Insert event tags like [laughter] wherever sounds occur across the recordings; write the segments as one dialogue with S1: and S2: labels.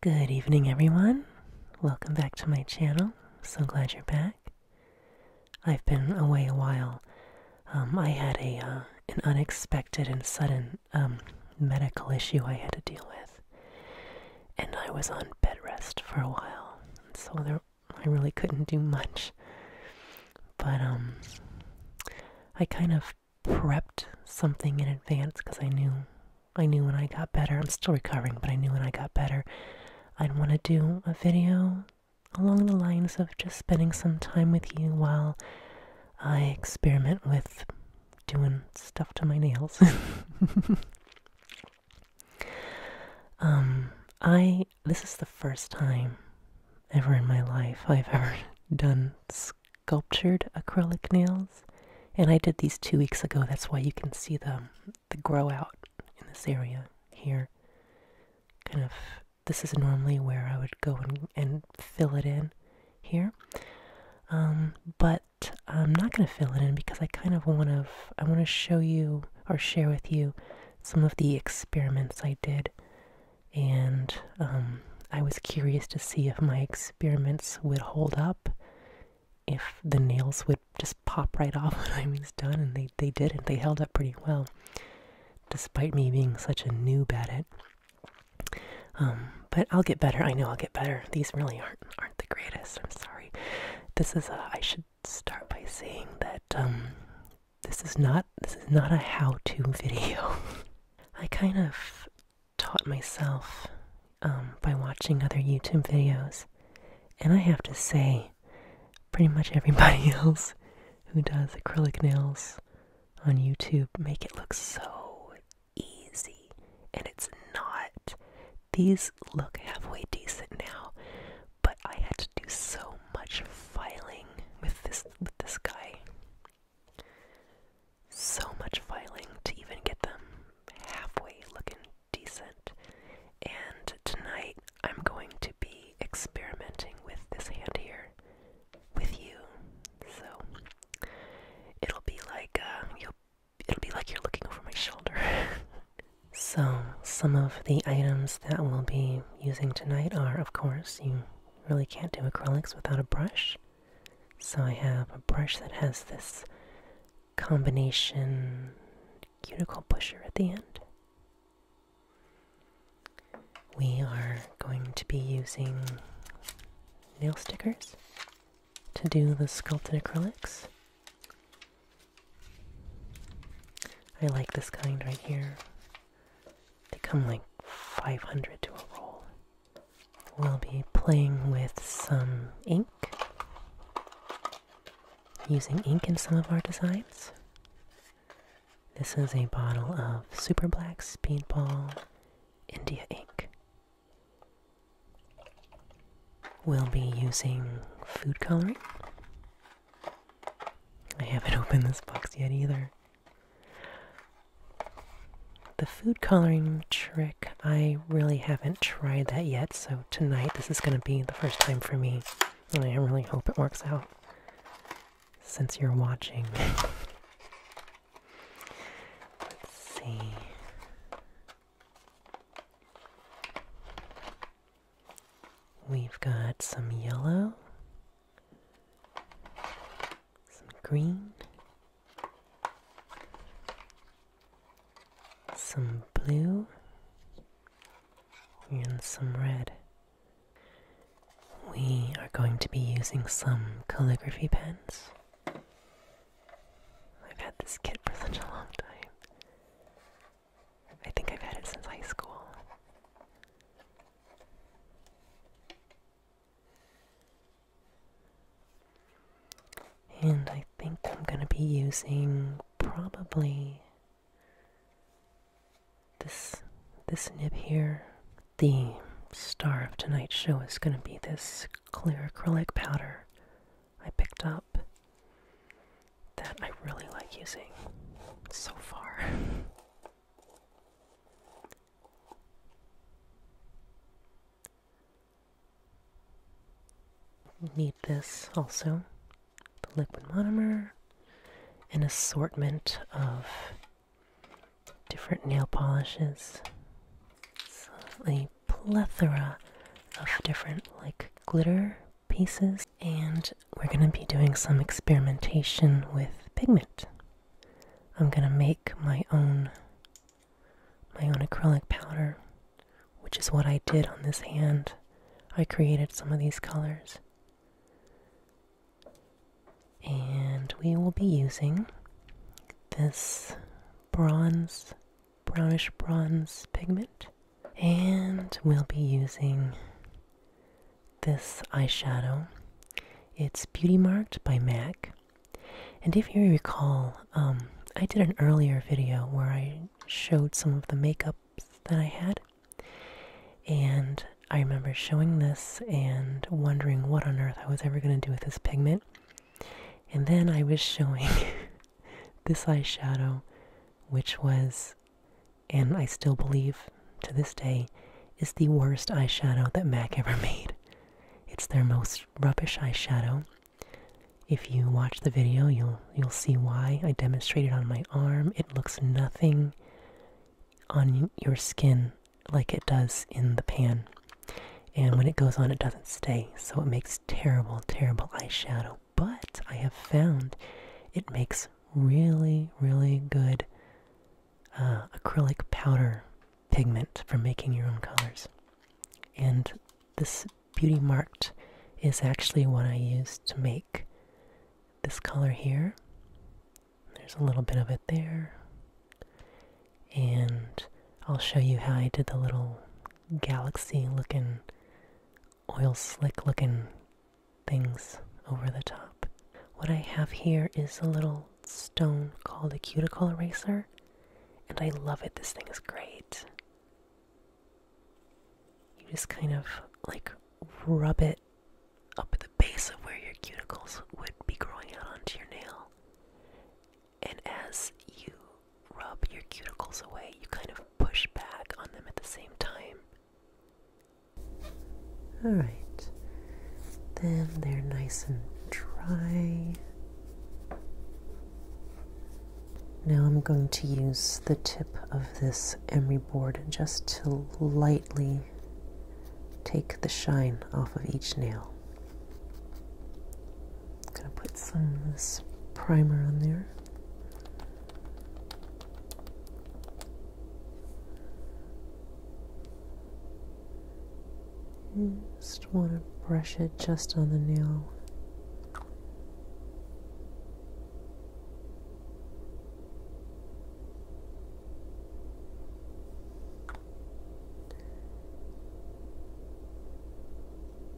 S1: Good evening, everyone. Welcome back to my channel. So glad you're back. I've been away a while. Um, I had a uh, an unexpected and sudden um, medical issue I had to deal with, and I was on bed rest for a while. So there I really couldn't do much. But um I kind of prepped something in advance because I knew I knew when I got better. I'm still recovering, but I knew when I got better I'd want to do a video along the lines of just spending some time with you while I experiment with doing stuff to my nails. [laughs] [laughs] Um, I this is the first time ever in my life I've ever [laughs] done sculptured acrylic nails, and I did these two weeks ago. That's why you can see the the grow out in this area here. Kind of this is normally where I would go and, and fill it in here. Um, but I'm not going to fill it in because I kind of want to I want to show you or share with you some of the experiments I did, and um, I was curious to see if my experiments would hold up, if the nails would just pop right off [laughs] when I was done, and they, they did it. They held up pretty well, despite me being such a new at it. Um, but I'll get better. I know I'll get better. These really aren't aren't the greatest. I'm sorry. This is I should start by saying that um, this is not this is not a how-to [laughs] video. I kind of taught myself um, by watching other YouTube videos, and I have to say, pretty much everybody [laughs] else who does acrylic nails on YouTube make it look so easy, and it's not. These look halfway decent now, but I had to do so much filing with this with this guy. So much filing to even get them halfway looking decent. And tonight I'm going to be experimenting with this hand here with you. So it'll be like uh, it'll be like you're looking over my shoulder. [laughs] So, some of the items that we'll be using tonight are, of course, you really can't do acrylics without a brush. So, I have a brush that has this combination cuticle pusher at the end. We are going to be using nail stickers to do the sculpted acrylics. I like this kind right here. They come like 500 to a roll. We'll be playing with some ink, using ink in some of our designs. This is a bottle of Super Black Speedball India ink. We'll be using food coloring. I haven't [laughs] opened this box yet either. The food coloring trick, I really haven't tried that yet, so tonight this is going to be the first time for me, and I really hope it works out since you're watching. [laughs] Let's see. We've got some yellow, some green, some blue, and some red. We are going to be using some calligraphy pens. I've had this kit for such a long time. I think I've had it since high school. And I think I'm going to be using probably this this nib here. The star of tonight's show is going to be this clear acrylic powder I picked up that I really like using so far. Need this also the liquid monomer, an assortment of different nail polishes. So, plethora of different like glitter pieces and we're going to be doing some experimentation with pigment. I'm going to make my own my own acrylic powder, which is what I did on this hand. I created some of these colors. And we will be using this bronze brownish bronze pigment. And we'll be using this eyeshadow. It's Beauty Marked by MAC. And if you recall, um, I did an earlier video where I showed some of the makeups that I had. And I remember showing this and wondering what on earth I was ever going to do with this pigment. And then I was showing [laughs] this eyeshadow, which was, and I still believe to this day, is the worst eyeshadow that MAC ever made. It's their most rubbish eyeshadow. If you watch the video, you'll you'll see why. I demonstrated on my arm. It looks nothing on your skin like it does in the pan. And when it goes on, it doesn't stay, so it makes terrible, terrible eyeshadow but I have found it makes really, really good uh, acrylic powder pigment for making your own colors. And this Beauty Marked is actually what I use to make this color here. There's a little bit of it there. And I'll show you how I did the little galaxy looking, oil slick looking things over the top. What I have here is a little stone called a cuticle eraser, and I love it. This thing is great. You just kind of like rub it up at the base of where your cuticles would be growing out onto your nail, and as you rub your cuticles away, you kind of push back on them at the same time. Alright, then they're nice and dry. Now I'm going to use the tip of this emery board just to lightly take the shine off of each nail. I'm gonna put some of this primer on there. just want to brush it just on the nail.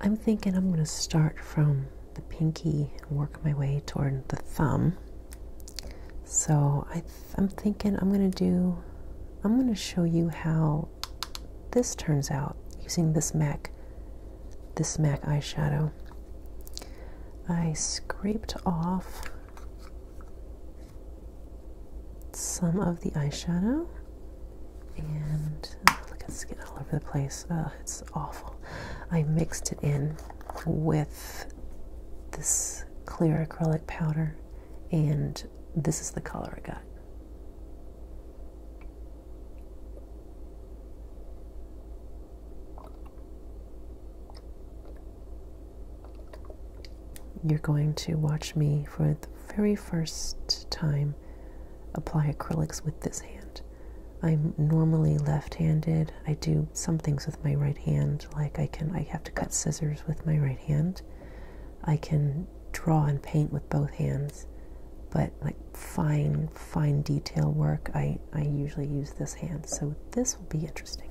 S1: I'm thinking I'm going to start from the pinky and work my way toward the thumb. So I am thinking I'm going to do, I'm going to show you how this turns out using this MAC, this MAC eyeshadow. I scraped off some of the eyeshadow and oh, look, it's getting all over the place. it's awful. I mixed it in with this clear acrylic powder, and this is the color I got. You're going to watch me for the very first time apply acrylics with this hand. I'm normally left-handed. I do some things with my right hand, like I can I have to cut scissors with my right hand. I can draw and paint with both hands, but like fine fine detail work, I I usually use this hand. So this will be interesting.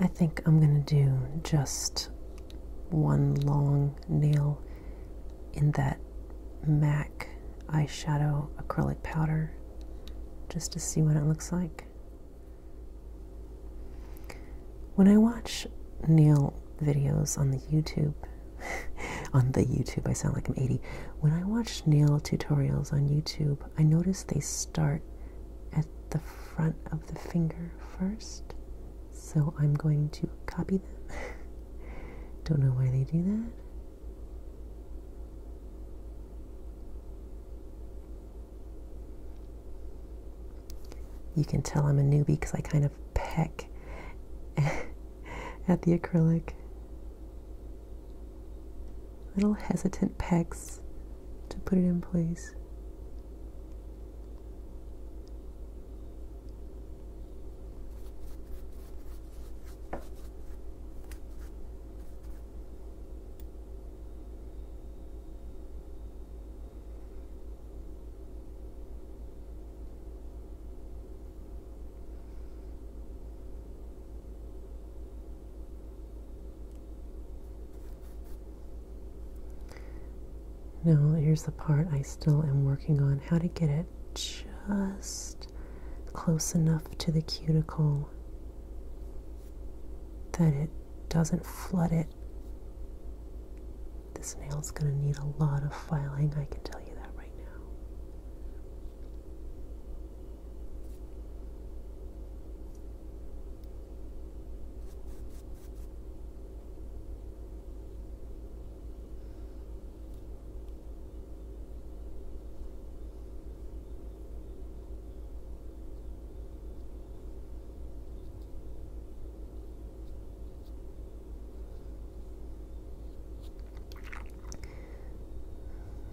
S1: I think I'm going to do just one long nail in that mac eyeshadow acrylic powder just to see what it looks like. When I watch nail videos on the YouTube, [laughs] on the YouTube, I sound like I'm 80. When I watch nail tutorials on YouTube, I notice they start at the front of the finger first. So I'm going to copy them. [laughs] Don't know why they do that. You can tell I'm a newbie because I kind of peck [laughs] at the acrylic. Little hesitant pecks to put it in place. Now, here's the part I still am working on how to get it just close enough to the cuticle that it doesn't flood it. This nail's going to need a lot of filing, I can tell you that right now.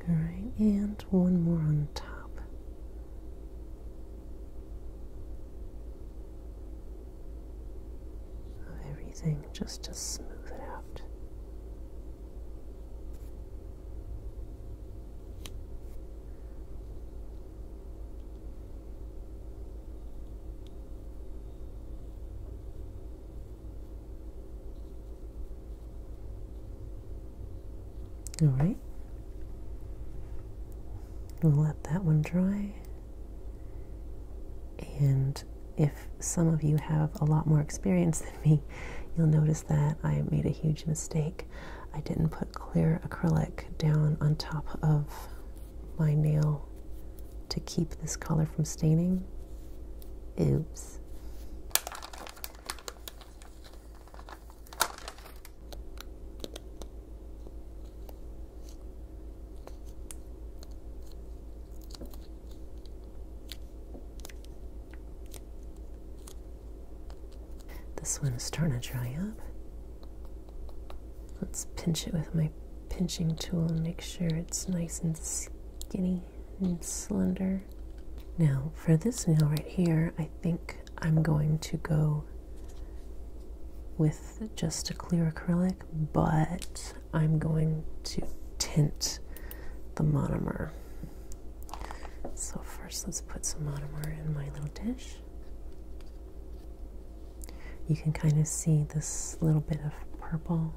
S1: All right, and one more on top. Of everything just to smooth it out. All right, we'll let that one dry and if some of you have a lot more experience than me, you'll notice that I made a huge mistake. I didn't put clear acrylic down on top of my nail to keep this color from staining. Oops. This one is starting to dry up. Let's pinch it with my pinching tool and make sure it's nice and skinny and slender. Now for this nail right here, I think I'm going to go with just a clear acrylic, but I'm going to tint the monomer. So first let's put some monomer in my little dish. You can kind of see this little bit of purple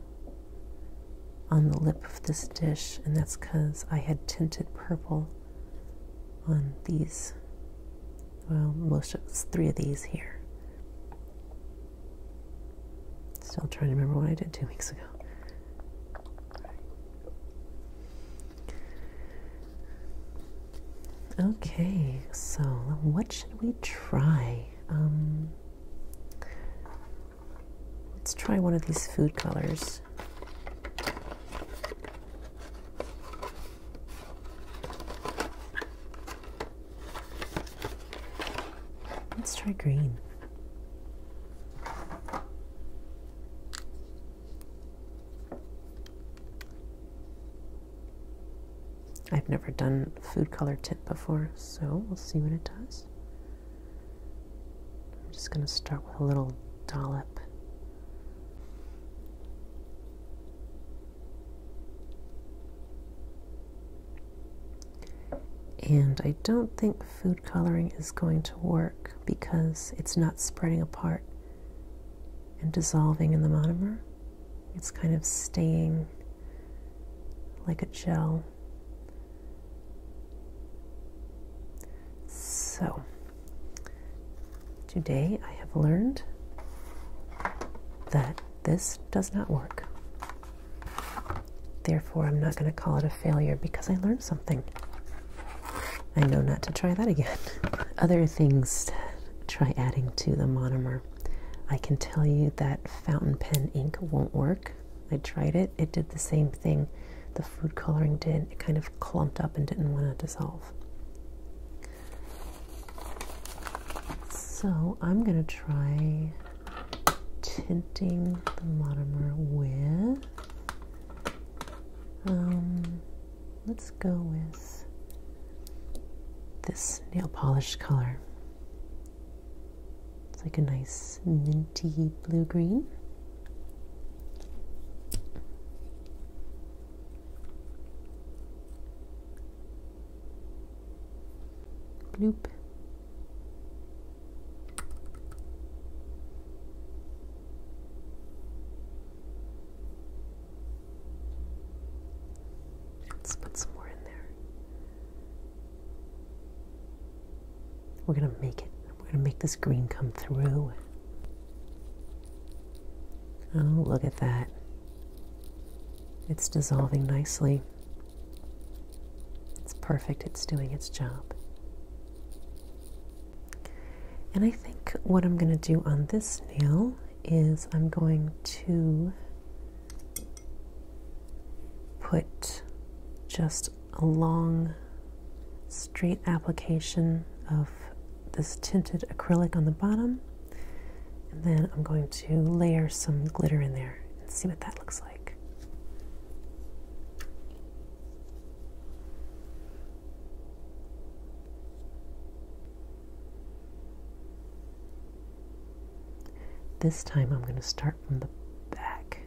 S1: on the lip of this dish and that's because I had tinted purple on these well most of three of these here Still trying to remember what I did two weeks ago. Okay, so what should we try? Um, let's try one of these food colors. Let's try green. I've never done food color tint before, so we'll see what it does. I'm just going to start with a little dollop. And I don't think food coloring is going to work because it's not spreading apart and dissolving in the monomer. It's kind of staying like a gel. So, today I have learned that this does not work. Therefore, I'm not going to call it a failure because I learned something. I know not to try that again. [laughs] Other things try adding to the monomer. I can tell you that fountain pen ink won't work. I tried it, it did the same thing the food coloring did. It kind of clumped up and didn't want to dissolve. So I'm going to try tinting the monomer with. Um, let's go with this nail polish color. It's like a nice minty blue green. Bloop. Let's put some more in there. We're going to make it. We're going to make this green come through. Oh, look at that. It's dissolving nicely. It's perfect, it's doing its job. And I think what I'm going to do on this nail is I'm going to put just a long straight application of this tinted acrylic on the bottom and then I'm going to layer some glitter in there and see what that looks like. This time I'm going to start from the back.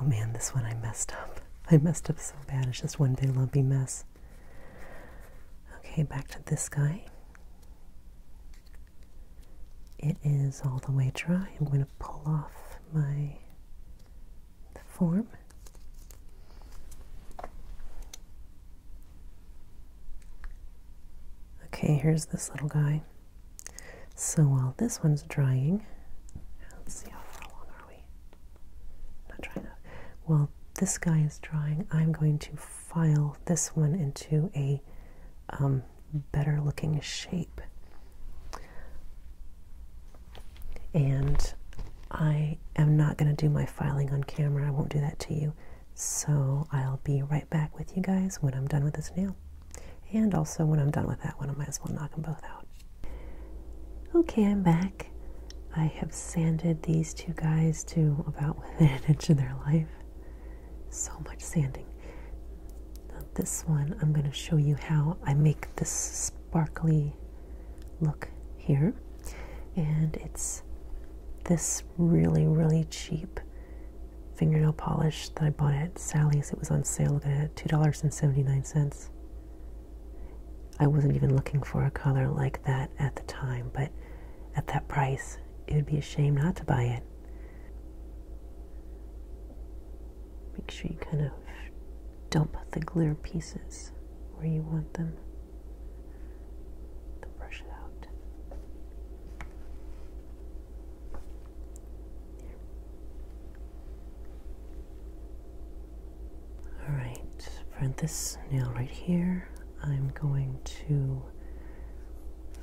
S1: Oh man, this one I messed up. I messed up so bad. It's just one big lumpy mess. Okay, back to this guy. It is all the way dry. I'm going to pull off my the form. Okay, here's this little guy. So while this one's drying, let's see how far along are we? Not drying enough. While this guy is drying, I'm going to file this one into a um, better looking shape and I am not going to do my filing on camera. I won't do that to you. So I'll be right back with you guys when I'm done with this nail. And also when I'm done with that one, I might as well knock them both out. Okay, I'm back. I have sanded these two guys to about within [laughs] an inch of their life. So much sanding this one, I'm going to show you how I make this sparkly look here. And it's this really, really cheap fingernail polish that I bought at Sally's. It was on sale at $2.79. I wasn't even looking for a color like that at the time, but at that price, it would be a shame not to buy it. Make sure you kind of dump the glitter pieces where you want them. Then brush it out. There. All right, for this nail right here, I'm going to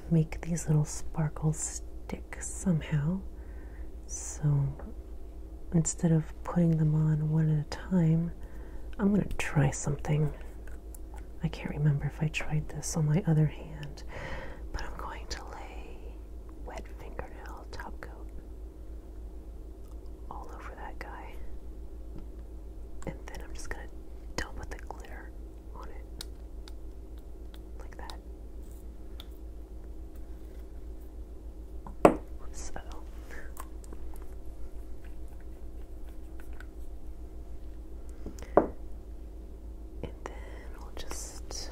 S1: make these little sparkles stick somehow. So instead of putting them on one at a time, I'm going to try something. I can't remember if I tried this on my other hand, but I'm going to lay wet fingernail top coat all over that guy. And then I'm just going to dump the glitter on it. Like that. So and then we'll just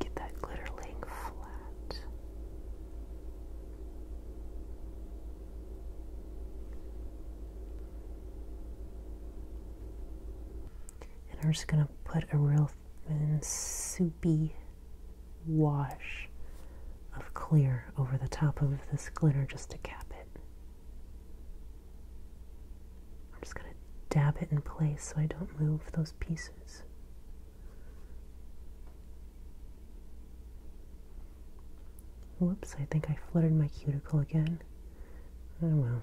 S1: get that glitter laying flat and I'm just gonna put a real thin soupy wash of clear over the top of this glitter just to cap it. I'm just gonna dab it in place so I don't move those pieces. Whoops, I think I fluttered my cuticle again. Oh well,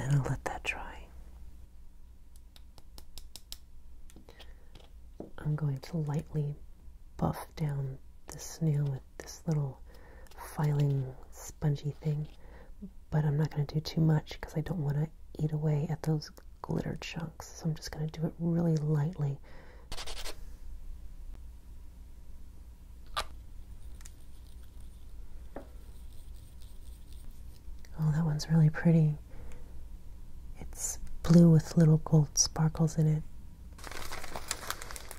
S1: And then I'll let that dry. I'm going to lightly buff down the snail with this little filing spongy thing, but I'm not going to do too much because I don't want to eat away at those glitter chunks. So I'm just going to do it really lightly. Oh, that one's really pretty. It's blue with little gold sparkles in it.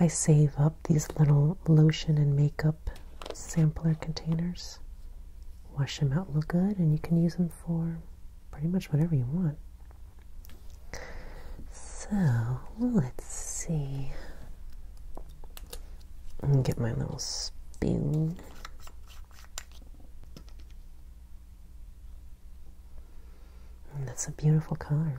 S1: I save up these little lotion and makeup sampler containers, wash them out, look good, and you can use them for pretty much whatever you want. So let's see. I'm get my little spoon. that's a beautiful color.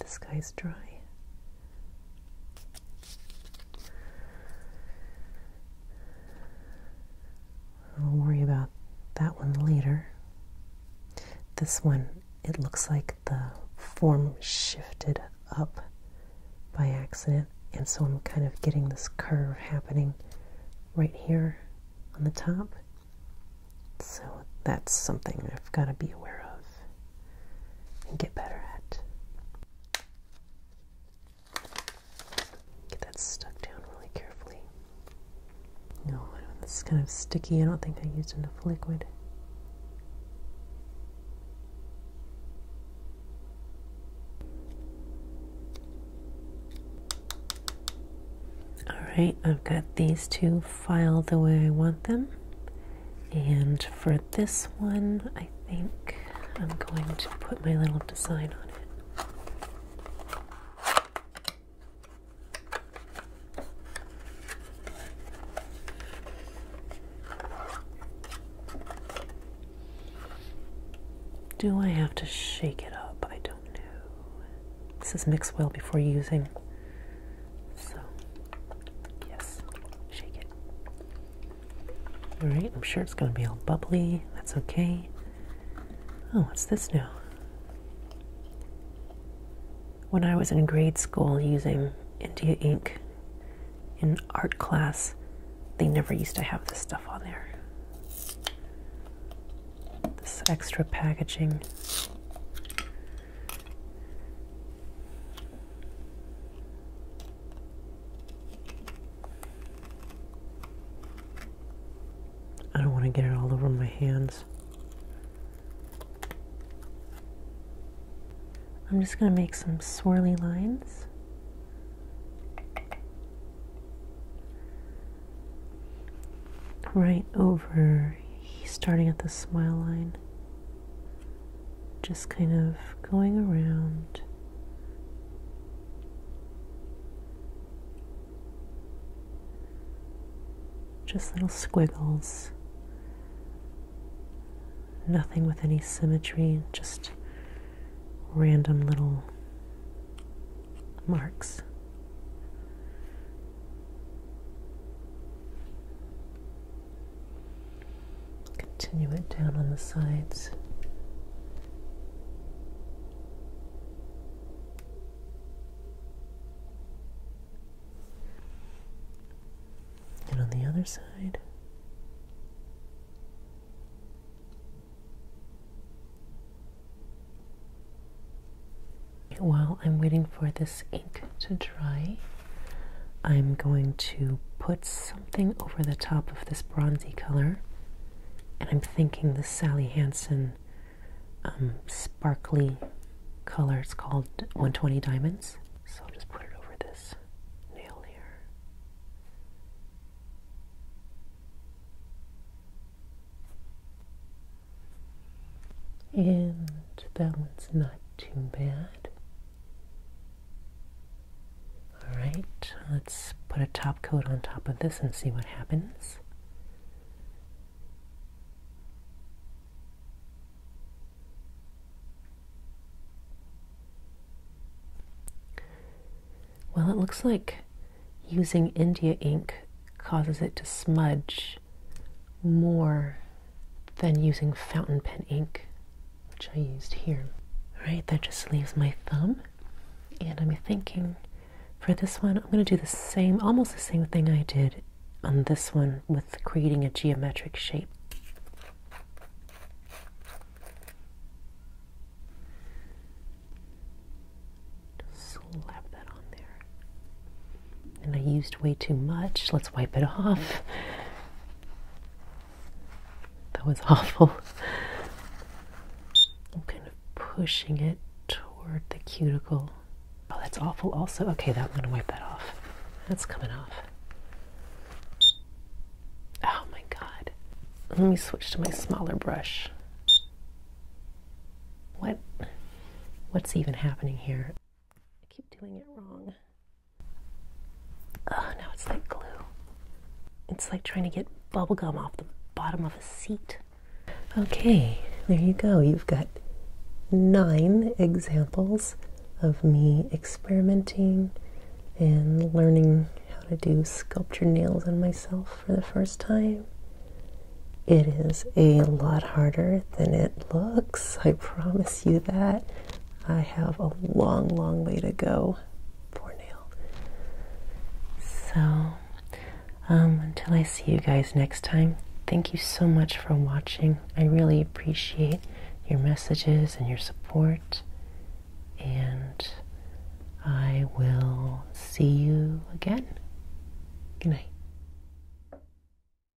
S1: The sky's dry. I'll worry about that one later. This one, it looks like the form shifted up by accident, and so I'm kind of getting this curve happening right here on the top. So that's something I've got to be aware of and get better at. Get that stuck down really carefully. No, this is kind of sticky. I don't think I used enough liquid. Alright, I've got these two filed the way I want them. And for this one, I think I'm going to put my little design on it. Do I have to shake it up? I don't know. This is mixed well before using. So, yes, shake it. Alright, I'm sure it's going to be all bubbly. That's okay. Oh, what's this now? When I was in grade school using India ink in art class, they never used to have this stuff on there. This extra packaging. I don't want to get it all over my hands. I'm just going to make some swirly lines. Right over, starting at the smile line just kind of going around. Just little squiggles. Nothing with any symmetry, just random little marks. Continue it down on the sides. And on the other side. While I'm waiting for this ink to dry, I'm going to put something over the top of this bronzy color, and I'm thinking the Sally Hansen um, sparkly color. It's called 120 Diamonds. So I'll just put it over this nail here. And that one's not too bad. Alright, let's put a top coat on top of this and see what happens. Well, it looks like using India ink causes it to smudge more than using fountain pen ink, which I used here. Right, that just leaves my thumb, and I'm thinking for this one, I'm going to do the same, almost the same thing I did on this one with creating a geometric shape. Slap that on there and I used way too much. Let's wipe it off. That was awful. I'm kind of pushing it toward the cuticle. Oh, that's awful, also. Okay, that, I'm going to wipe that off. That's coming off. Oh my god. Let me switch to my smaller brush. What? What's even happening here? I keep doing it wrong. Oh, now it's like glue. It's like trying to get bubblegum off the bottom of a seat. Okay, there you go. You've got nine examples of me experimenting and learning how to do sculpture nails on myself for the first time. It is a lot harder than it looks. I promise you that. I have a long, long way to go. Poor So, um, until I see you guys next time, thank you so much for watching. I really appreciate your messages and your support. And I will see you again. Good night.